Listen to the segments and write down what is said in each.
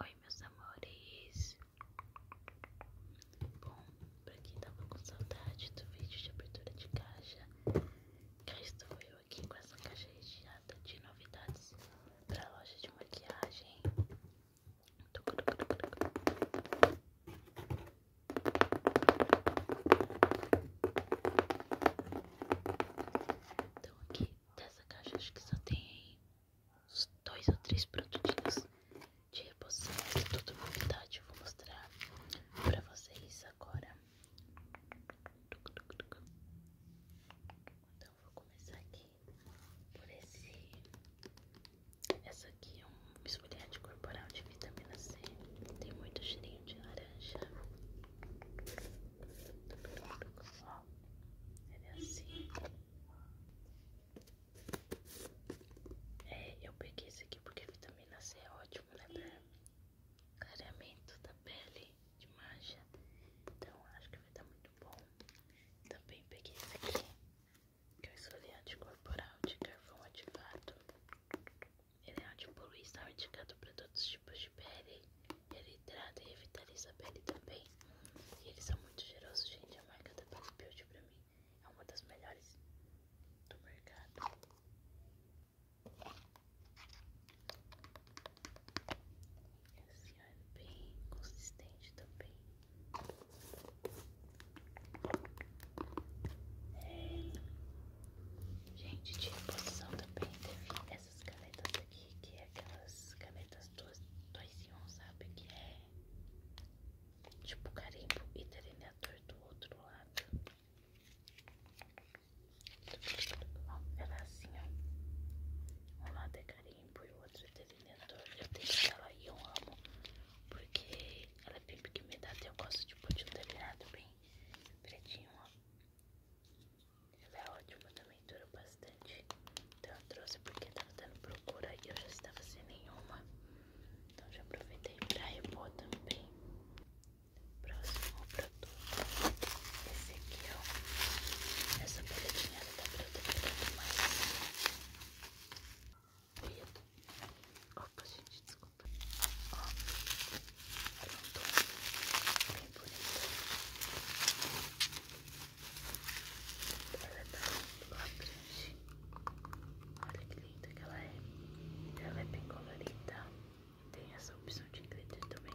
Oi, meus amores. Bom, pra quem tava com saudade do vídeo de abertura de caixa, cá estou eu aqui com essa caixa recheada de novidades pra loja de maquiagem. Então aqui dessa caixa acho que só tem uns dois ou três produtinhos de reposição, mas é tudo novidade, eu vou mostrar pra vocês agora. Então vou começar aqui por esse. Essa aqui é um esfoliante corporal de vitamina C. Tem muito cheirinho de laranja do pernambuco, ó, ele é assim. É, eu peguei esse aqui porque vitamina C é ótimo, né, pra clareamento da pele, de mancha, então acho que vai dar muito bom. Também peguei esse aqui, que é o esfoliante corporal de carvão ativado. Ele é ótimo por estar tá indicado para todos os tipos de pele. Ele hidrata e revitaliza a pele também. E eles são muito generosos. gente. A marca da Body Beauty para mim é uma das melhores do mercado. Assim, é bem consistente também. É, Gente, de reposição também teve essas canetas aqui, que é aquelas canetas 2 em 1, um, sabe? Que é tipo carimbo e delineador do outro lado. Bom, ela é assim, ó. Um lado é carimbo e o outro é delineador. Eu tenho ela e eu amo, porque ela é bem pigmentada e eu gosto de tipo, pôr de um delineado bem bem pretinho, ó. Ela é ótimo também, durou bastante. Então eu trouxe porque tava dando procura e eu já estava sem nenhuma. Então já aproveitei pra repor também. Próximo produto. Esse aqui, ó. Essa paletinha ela tá protegendo mais. Opa, gente, desculpa. Ó, é um tom bem bonito. Ela tá labrante. Olha que linda que ela é. Ela é bem colorida. Tem essa opção de glitter também.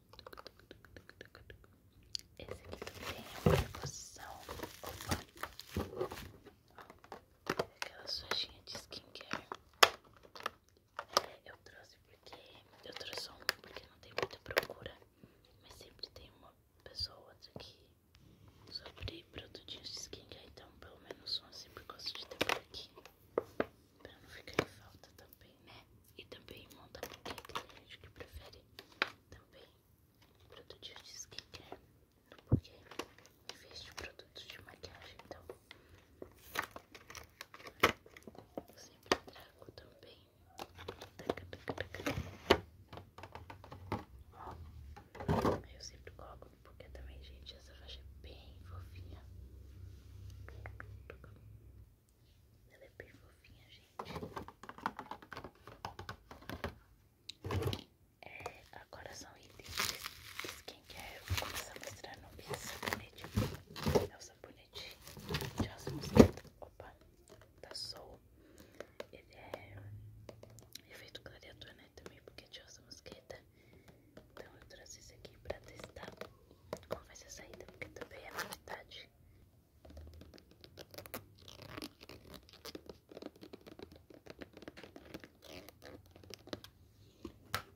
Esse aqui também é uma reposição. Opa! Aquela sujinha de skincare. Eu trouxe porque. Eu trouxe um porque não tem muita procura. Mas sempre tem uma pessoa ou outra aqui sobre produtinhos de skincare. Então, pelo menos um eu sempre gosto de ter por aqui. Pra não ficar em falta também, né? E também monta porque tem gente que prefere também produtos de skincare porque em vez de produtos de maquiagem, então eu sempre trago também eu sempre coloco porque também, gente, essa faixa é bem fofinha ela é bem fofinha, gente. É, agora são itens de skincare. Vou começar mostrando esse sabonete. É o sabonete de rosa mosqueta. Opa, tá sol. Ele é efeito clareador, né? Também porque é de rosa mosqueta. Então eu trouxe isso aqui pra testar como vai ser saída, porque também é novidade.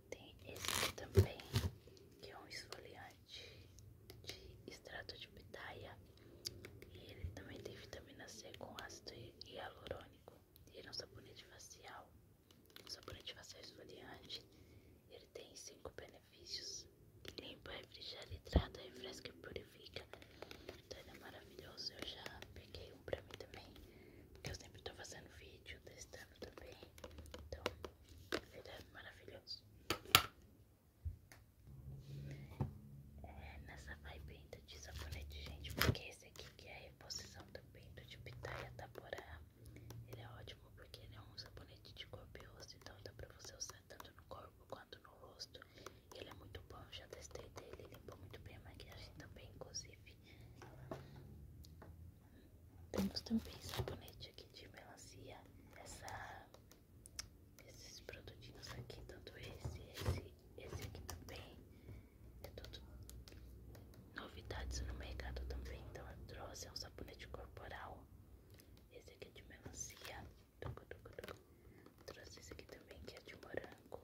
Tem esse aqui também, que é um esfoliante de extrato de pitaia. E ele também tem vitamina C com ácido hialurônico. Ele é um sabonete facial, sabonete facial esfoliante. Ele tem cinco benefícios. Limpa, refrigera, hidrata, refresca e purifica. Então ele é maravilhoso. Eu já peguei um pra mim também. Porque eu sempre tô fazendo vídeo, testando também. Então, ele é maravilhoso. É, nessa vai ainda de sabonete, gente. Porque esse aqui que é a reposição também do de pitaia taporá. Ele é ótimo porque ele é um sabonete de corpo e rosto, então dá pra você usar tanto no corpo quanto no rosto. ele é muito bom, já testei dele, limpa muito bem a maquiagem também, inclusive. Temos também sabonete aqui de melancia, esses produtinhos aqui, tanto esse, esse, esse aqui também. É tudo novidades no mercado também, então eu trouxe é um sabonete corporal esse aqui é de melancia. Tucu, tucu, Trouxe esse aqui também, que é de morango.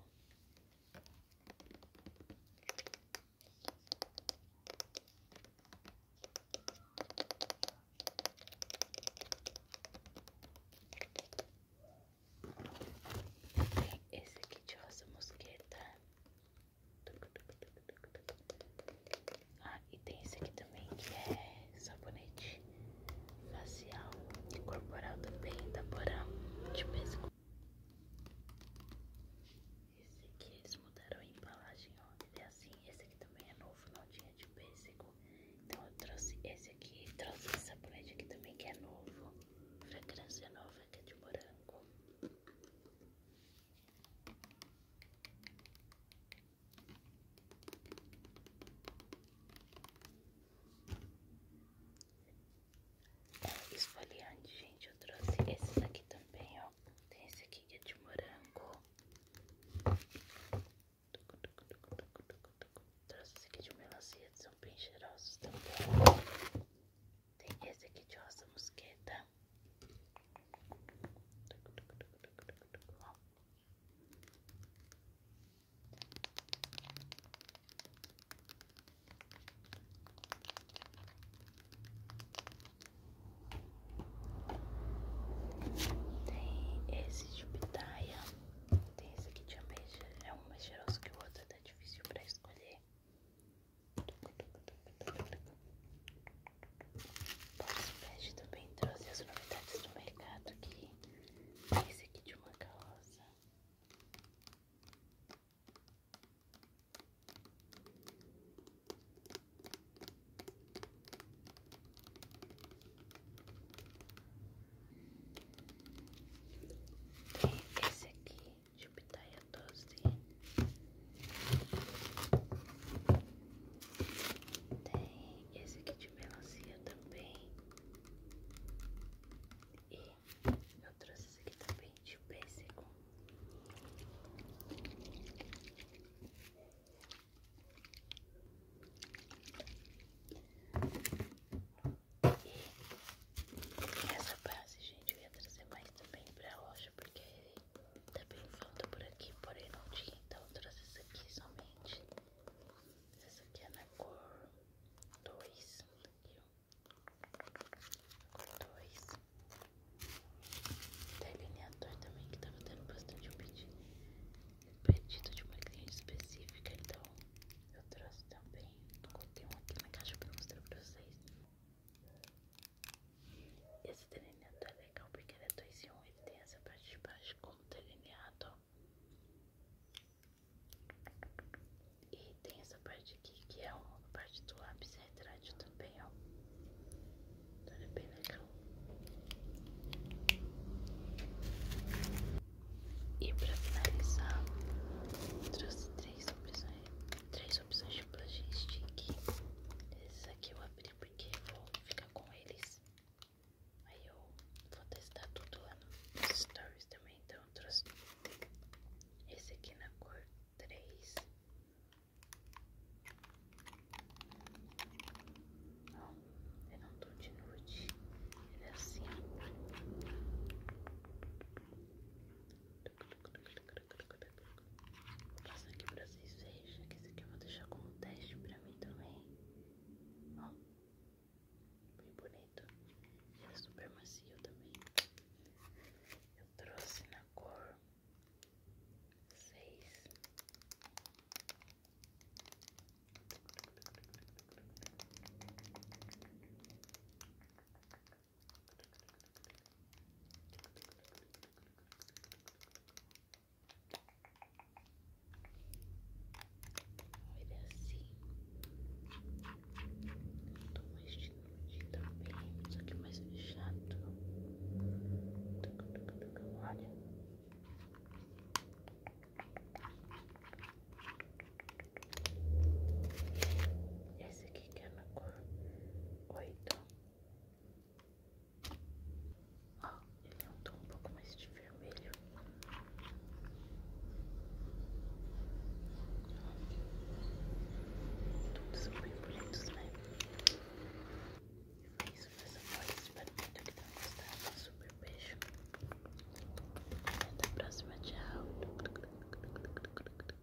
esse aqui de rosa mosqueta. Ah, e tem esse aqui também que é sabonete facial e corporal também da Porã de pesco. Esse aqui eles mudaram a embalagem, ó. Ele é assim, esse aqui também é novo, não tinha de pêssego. Então eu trouxe esse aqui, trouxe esse sabonete aqui também que é novo. Fragrância nova que é de morango esfoliante, gente. Eu trouxe esses aqui também, ó. Tem esse aqui é de morango. Trouxe esse aqui de melancia, são bem cheirosos também. Tem esse aqui de rosa mosqueta. Tem esse de pitaia, tem esse aqui de ameixa, é um mais cheiroso que o outro, tá difícil para escolher. Pós também trouxe as novidades do mercado que esse aqui de uma calça. Tem esse aqui de pitaia doze, tem esse aqui de melancia também, e eu trouxe esse aqui também de pêssego. E essa base, gente, eu ia trazer mais também pra loja, porque também tá falta por aqui, porém não tinha, então eu trouxe isso aqui somente. Essa aqui é na cor 2. Cor 2. Tá delineador também, que tava tendo bastante um pedido, pedido de uma cliente específica, então eu trouxe também. não contei um aqui na caixa pra mostrar pra vocês. Esse delineador é legal porque ele é 2 em 1, um, ele tem essa parte de baixo como delineado, E tem essa parte aqui que é uma parte do lápis retrátil também, ó. Então ele é bem legal. E pra finalizar, trouxe três opções, três várias opções de blush stick. Esses aqui eu abri porque eu vou ficar com eles. Aí eu vou testar tudo lá nos stories também. Então eu esse aqui na cor 3. não ele é um tom de nude. Ele é assim. Passando aqui pra vocês vejam esse aqui eu vou deixar como teste pra mim também. Ó, bem bonito. Ele é super macio também. Eu trouxe na cor seis Olha assim. Toma este nude também. isso aqui é mais chato fechado. Olha. Esse pequena cor oito Ó, ele é um tom um pouco mais de vermelho. Todos são bem bonitos, né? É isso, pessoal. Espero muito que tenham gostado. Um super beijo. até a próxima. Tchau.